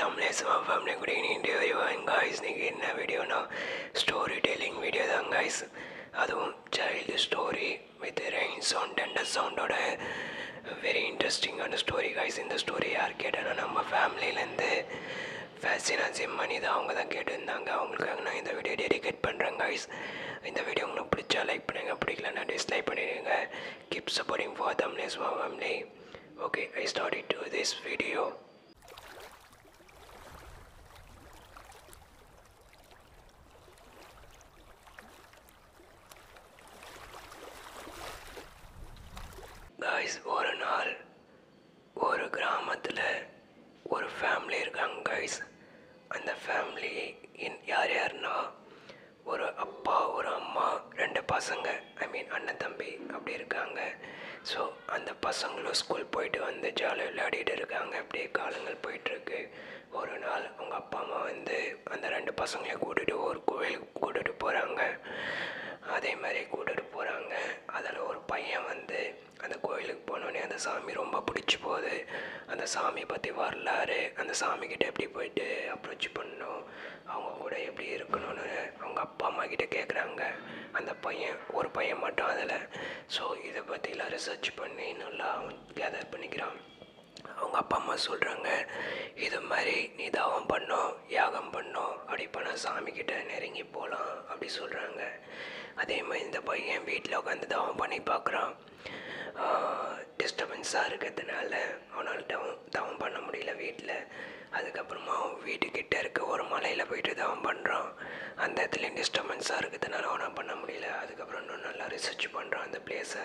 Tamil family good evening everyone guys நீங்கள் என்ன வீடியோனா ஸ்டோரி டெல்லிங் வீடியோ தான் காய்ஸ் அதுவும் child story with rain sound and சவுண்டோட வெரி இன்ட்ரெஸ்டிங்கான ஸ்டோரி காய்ஸ் இந்த ஸ்டோரி யார் கேட்டாலும் நம்ம ஃபேமிலியிலேருந்து ஃபேசினா ஜிம்மணி தான் அவங்க தான் கேட்டிருந்தாங்க அவங்களுக்காக நான் இந்த வீடியோ டெடிகேட் பண்ணுறேன் காய்ஸ் இந்த வீடியோ உங்களுக்கு பிடிச்சா லைக் பண்ணுங்கள் பிடிக்கலன்னா டிஸ்லைக் பண்ணிடுங்க keep supporting for thumbnails for family okay i started to this video guys ஒரு நாள் ஒரு கிராமத்தில் ஒரு ஃபேமிலி இருக்காங்க கைஸ் அந்த ஃபேமிலி யார் யாருன்னா ஒரு அப்பா ஒரு அம்மா ரெண்டு பசங்க ஐ மீன் அண்ணன் தம்பி அப்படி இருக்காங்க ஸோ அந்த பசங்களும் ஸ்கூல் போயிட்டு வந்து ஜாலியாக விளையாடிட்டு இருக்காங்க அப்படியே காலங்கள் போயிட்டுருக்கு ஒரு நாள் அவங்க அப்பா அம்மா வந்து அந்த ரெண்டு பசங்களையும் கூட்டிகிட்டு ஒரு கோயிலுக்கு கூட்டிகிட்டு போகிறாங்க அதே மாதிரி கூட்டிகிட்டு போகிறாங்க அதில் ஒரு பையன் வந்து அந்த கோயிலுக்கு போனோடனே அந்த சாமி ரொம்ப பிடிச்சி போகுது அந்த சாமியை பற்றி வரலாறு அந்த சாமிக்கிட்ட எப்படி போயிட்டு அப்ரோச் பண்ணணும் அவங்க கூட எப்படி இருக்கணும்னு அவங்க அப்பா அம்மா கிட்ட கேட்குறாங்க அந்த பையன் ஒரு பையன் மட்டும் அதில் ஸோ இதை பற்றிலாம் ரிசர்ச் பண்ணி நல்லா கேதர் பண்ணிக்கிறான் அவங்க அப்பா அம்மா சொல்கிறாங்க இது மாதிரி நீ நிதாவம் பண்ணோம் யாகம் பண்ணோம் அப்படி பண்ணால் சாமிக்கிட்ட நெருங்கி போகலாம் அப்படி சொல்கிறாங்க அதே மாதிரி இந்த பையன் வீட்டில் உட்காந்து தவம் பண்ணி பார்க்குறான் டிஸ்டர்பன்ஸாக இருக்கிறதுனால அவனால் டவுன் தவம் பண்ண முடியல வீட்டில் அதுக்கப்புறமா அவன் வீட்டுக்கிட்ட இருக்க ஒரு மலையில் போய்ட்டு தவம் பண்ணுறான் அந்த இடத்துல டிஸ்டர்பன்ஸாக இருக்கிறதுனால அவனால் பண்ண முடியல அதுக்கப்புறம் இன்னும் நல்லா ரிசர்ச் பண்ணுறான் அந்த பிளேஸை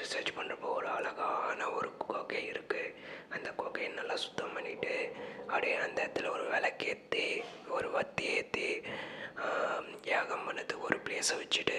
ரிசர்ச் பண்ணுறப்போ ஒரு அழகான ஒரு கொகை இருக்குது அந்த கொகையை நல்லா சுத்தம் பண்ணிவிட்டு அப்படியே அந்த இடத்துல ஒரு விளக்கேற்றி ஒரு வத்தி ஏற்றி யாகம் பண்ணது ஒரு பிளேஸை வச்சுட்டு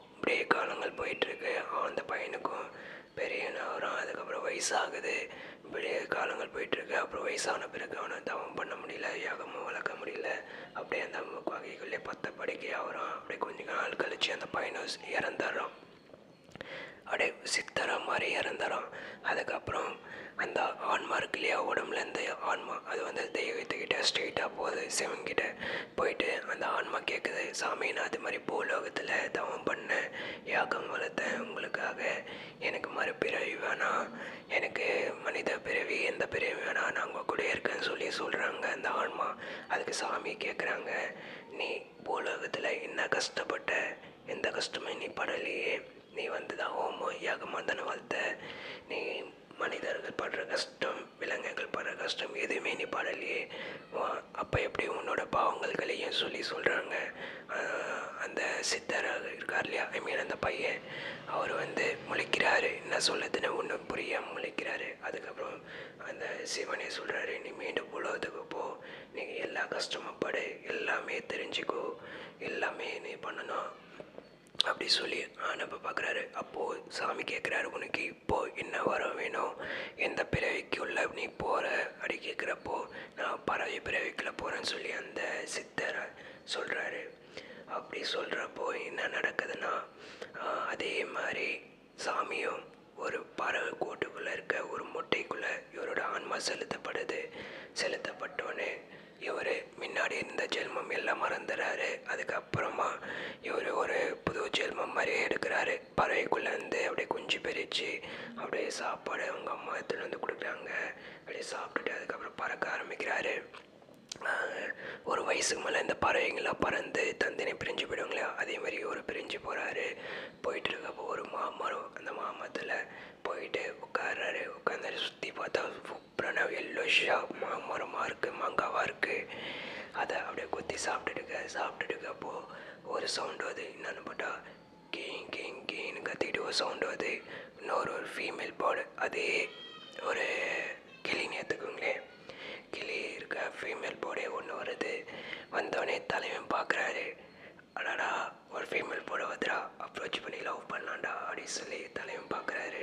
இப்படியே காலங்கள் போயிட்டுருக்கு அவன் அந்த பையனுக்கும் பெரிய ஆகிறான் அதுக்கப்புறம் வயசாகுது இப்படியே காலங்கள் போயிட்டுருக்கு அப்புறம் வயசான பிறகு அவனை தவம் பண்ண முடியல யாகமும் வளர்க்க முடியல அப்படியே அந்த வகைக்குள்ளே பத்த படிக்க ஆகிறான் அப்படியே கொஞ்சம் நாள் கழித்து அந்த பையனும் இறந்துடுறான் அப்படியே சித்தரா மாதிரி இறந்துறான் அதுக்கப்புறம் அந்த ஆன்மா இருக்கு இல்லையா உடம்புலேருந்து ஆன்மா அது வந்து தெய்வத்துக்கிட்ட ஸ்ட்ரெயிட்டாக போகுது சிவன்கிட்ட போயிட்டு அந்த ஆன்மா கேட்குது சாமி நான் அது மாதிரி பூலோகத்தில் தவம் பண்ண யாகம் வளர்த்தேன் உங்களுக்காக எனக்கு மறுபிறவி வேணாம் எனக்கு மனித பிறவி எந்த பிறவி வேணாம் நான் உங்கள் கூட இருக்கேன்னு சொல்லி சொல்கிறாங்க அந்த ஆன்மா அதுக்கு சாமி கேட்குறாங்க நீ பூலோகத்தில் என்ன கஷ்டப்பட்ட எந்த கஷ்டமும் நீ படலையே நீ வந்து தான் ஹோமம் யாகமாக தானே வளர்த்த நீ மனிதர்கள் படுற கஷ்டம் விலங்குகள் படுற கஷ்டம் எதுவுமே நீ படலையே அப்போ எப்படி உன்னோட பாவங்கள்களையும் சொல்லி சொல்கிறாங்க அந்த சித்தராக இருக்கார் இல்லையா ஐ மீன் அந்த பையன் அவர் வந்து முழிக்கிறாரு என்ன சொல்லுதுன்னு ஒன்றும் புரியாமல் முழிக்கிறாரு அதுக்கப்புறம் அந்த சிவனே சொல்கிறாரு நீ மீண்டும் உலகத்துக்கு போ நீங்கள் எல்லா கஷ்டமும் படு எல்லாமே தெரிஞ்சுக்கோ எல்லாமே நீ பண்ணணும் அப்படி சொல்லி அனுப்ப பார்க்குறாரு அப்போது சாமி கேட்குறாரு உனக்கு இப்போது என்ன வர வேணும் எந்த பிறவிக்கு உள்ள நீ போகிற அப்படி கேட்குறப்போ நான் பறவை பிறவிக்குள்ளே போகிறேன்னு சொல்லி அந்த சித்தரை சொல்கிறாரு அப்படி சொல்கிறப்போ என்ன நடக்குதுன்னா அதே மாதிரி சாமியும் ஒரு பறவை கோட்டுக்குள்ளே இருக்க ஒரு முட்டைக்குள்ளே இவரோட ஆன்மா செலுத்தப்படுது செலுத்தப்பட்டோன்னே இவர் முன்னாடி இருந்த ஜென்மம் எல்லாம் மறந்துடுறாரு அதுக்கப்புறமா இவர் ஒரு புது ஜென்மம் மாதிரியே எடுக்கிறாரு பறவைக்குள்ளேருந்து அப்படியே குஞ்சு பிரித்து அப்படியே சாப்பாடு அவங்க அம்மா எடுத்துகிட்டு வந்து கொடுக்குறாங்க அப்படியே சாப்பிட்டுட்டு அதுக்கப்புறம் பறக்க ஆரம்பிக்கிறாரு ஒரு வயசுக்கு மேலே இந்த பறவைங்களாம் பறந்து தந்தினி பிரிஞ்சு போயிடுவாங்களே அதே மாதிரி ஒரு பிரிஞ்சு போகிறாரு போயிட்டு இருக்கப்போ ஒரு மாமரம் அந்த மாமரத்தில் போயிட்டு உட்காடுறாரு உட்காந்து சுற்றி பார்த்தா பிரணவ் எல்லோ ஷாப்மா மரமாக இருக்குது மாங்காவாக இருக்குது அதை அப்படியே குத்தி சாப்பிட்டுட்டுக்க சாப்பிட்டுட்டுக்கப்போ ஒரு சவுண்டு வருது என்னென்னு பார்த்தா கே கே கேன்னு கத்திட்டு ஒரு சவுண்டு வருது இன்னொரு ஒரு ஃபீமேல் பேர்டு அதே ஒரு கிளின்னு எடுத்துக்கோங்களேன் கிளி இருக்க ஃபீமேல் போர்டே ஒன்று வருது வந்தோடனே தலைவன் பார்க்குறாரு அடாடா ஒரு ஃபீமேல் போட வந்துடா அப்ரோச் பண்ணி லவ் பண்ணாண்டா அப்படின்னு சொல்லி தலைவன் பார்க்குறாரு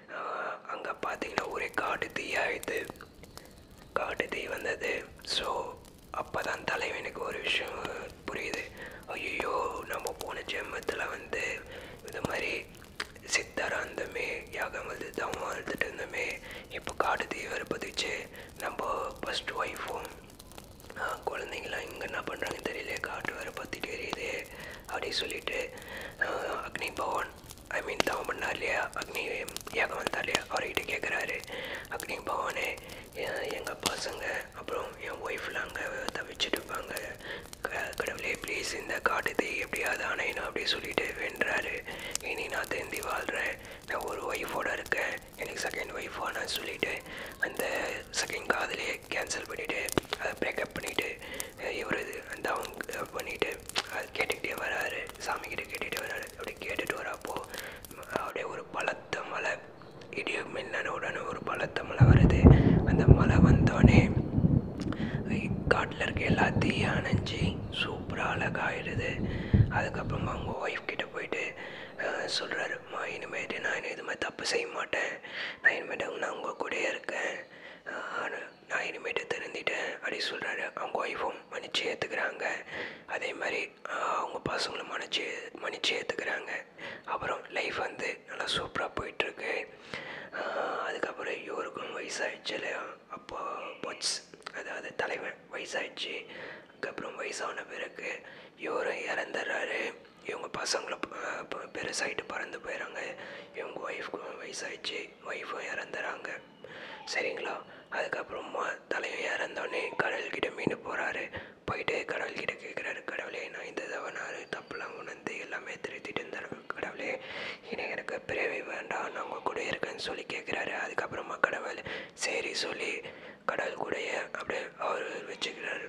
அங்கே பார்த்தீங்கன்னா ஒரே காடு தீயாகிது காடு தீ வந்தது ஸோ அப்போ தான் தலைவனுக்கு ஒரு விஷயம் புரியுது ஐயோ நம்ம போன ஜென்மத்தில் வந்து இது மாதிரி சித்தரா இருந்தமே யாகம் வந்து தான் வந்துட்டு இருந்தோமே இப்போ காடு தீ வருப்பதுச்சு நம்ம ஃபஸ்ட் ஒய்ஃபும் குழந்தைங்களாம் இங்கே என்ன பண்ணுறாங்க தெரியல காட்டு வர பற்றி தெரியல அப்படின்னு சொல்லிட்டு அக்னி பவன் ஐ மீன் தவம் பண்ணார் இல்லையா அக்னி ஏகம் வந்தார் இல்லையா அவர்கிட்ட கேட்குறாரு அக்னி பவனே எங்கள் பசங்க அப்புறம் என் ஒய்ஃப்லாம் அங்கே தவிச்சுட்டு இருப்பாங்க கடவுளே ப்ளீஸ் இந்த காட்டுத்தை எப்படியாவது அணையணும் அப்படின்னு சொல்லிவிட்டு வென்றாரு இனி நான் தேந்தி வாழ்கிறேன் நான் ஒரு ஒய்ஃபோடு இருக்கேன் எனக்கு செகண்ட் ஒய்ஃபானு சொல்லிட்டு அந்த செகண்ட் காதலியே கேன்சல் பண்ணிவிட்டு அதை பிரேக்கப் பண்ணிவிட்டு இவர் இது அந்த அவங்க பண்ணிவிட்டு அது கேட்டுக்கிட்டே வராரு சாமிக்கிட்ட கேட்டுகிட்டே வராரு அப்படி கேட்டுட்டு வரப்போ அப்படியே ஒரு பலத்த மலை இடிய மின்னன உடனே ஒரு பலத்த மலை வருது அந்த மலை வந்தோடனே காட்டில் இருக்க எல்லாத்தையும் அணைஞ்சி சூப்பராக அழகாகிடுது அதுக்கப்புறமா அவங்க ஒய்ஃப் கிட்டே போயிட்டு சொல்கிறாரு அம்மா இனிமேட்டு நான் இதுமாதிரி தப்பு செய்ய மாட்டேன் நான் இனிமேட்டு நான் உங்கள் கூடயே இருக்கேன் நான் இனிமேட்டு திருந்திட்டேன் அப்படி சொல்கிறாரு அவங்க ஒய்ஃபும் மன்னிச்சு ஏற்றுக்கிறாங்க அதே மாதிரி அவங்க பசங்களும் மன்னிச்சு மன்னிச்சு ஏற்றுக்கிறாங்க அப்புறம் லைஃப் வந்து நல்லா சூப்பராக போயிட்டுருக்கு அதுக்கப்புறம் யோருக்கும் வயசாகிடுச்சு இல்லையா அப்போ பொட்ஸ் அதாவது தலைவன் வயசாகிடுச்சு அதுக்கப்புறம் வயசான பிறகு இவரும் இறந்துடுறாரு இவங்க பசங்களை பெருசாகிட்டு பறந்து போயிடறாங்க இவங்க ஒய்ஃப்க்கு வயசாகிடுச்சு ஒய்ஃபும் இறந்துறாங்க சரிங்களா அதுக்கப்புறமா தலையும் இறந்தோடனே கடவுள்கிட்ட மீண்டு போகிறாரு போயிட்டு கடவுள்கிட்ட கேட்குறாரு கடவுளே நான் இந்த தவனாரு தப்புலாம் உணர்ந்து எல்லாமே திருத்திட்டு இருந்தார் கடவுளே இனி எனக்கு பிறவி வேண்டாம் நான் உங்கள் கூட இருக்கேன்னு சொல்லி கேட்குறாரு அதுக்கப்புறமா கடவுள் சரி சொல்லி கடவுள் கூடைய அப்படியே அவர் வச்சுக்கிறாரு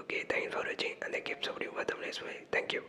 Okay, thanks for watching and I keep supporting for thumbnail smile. Thank you.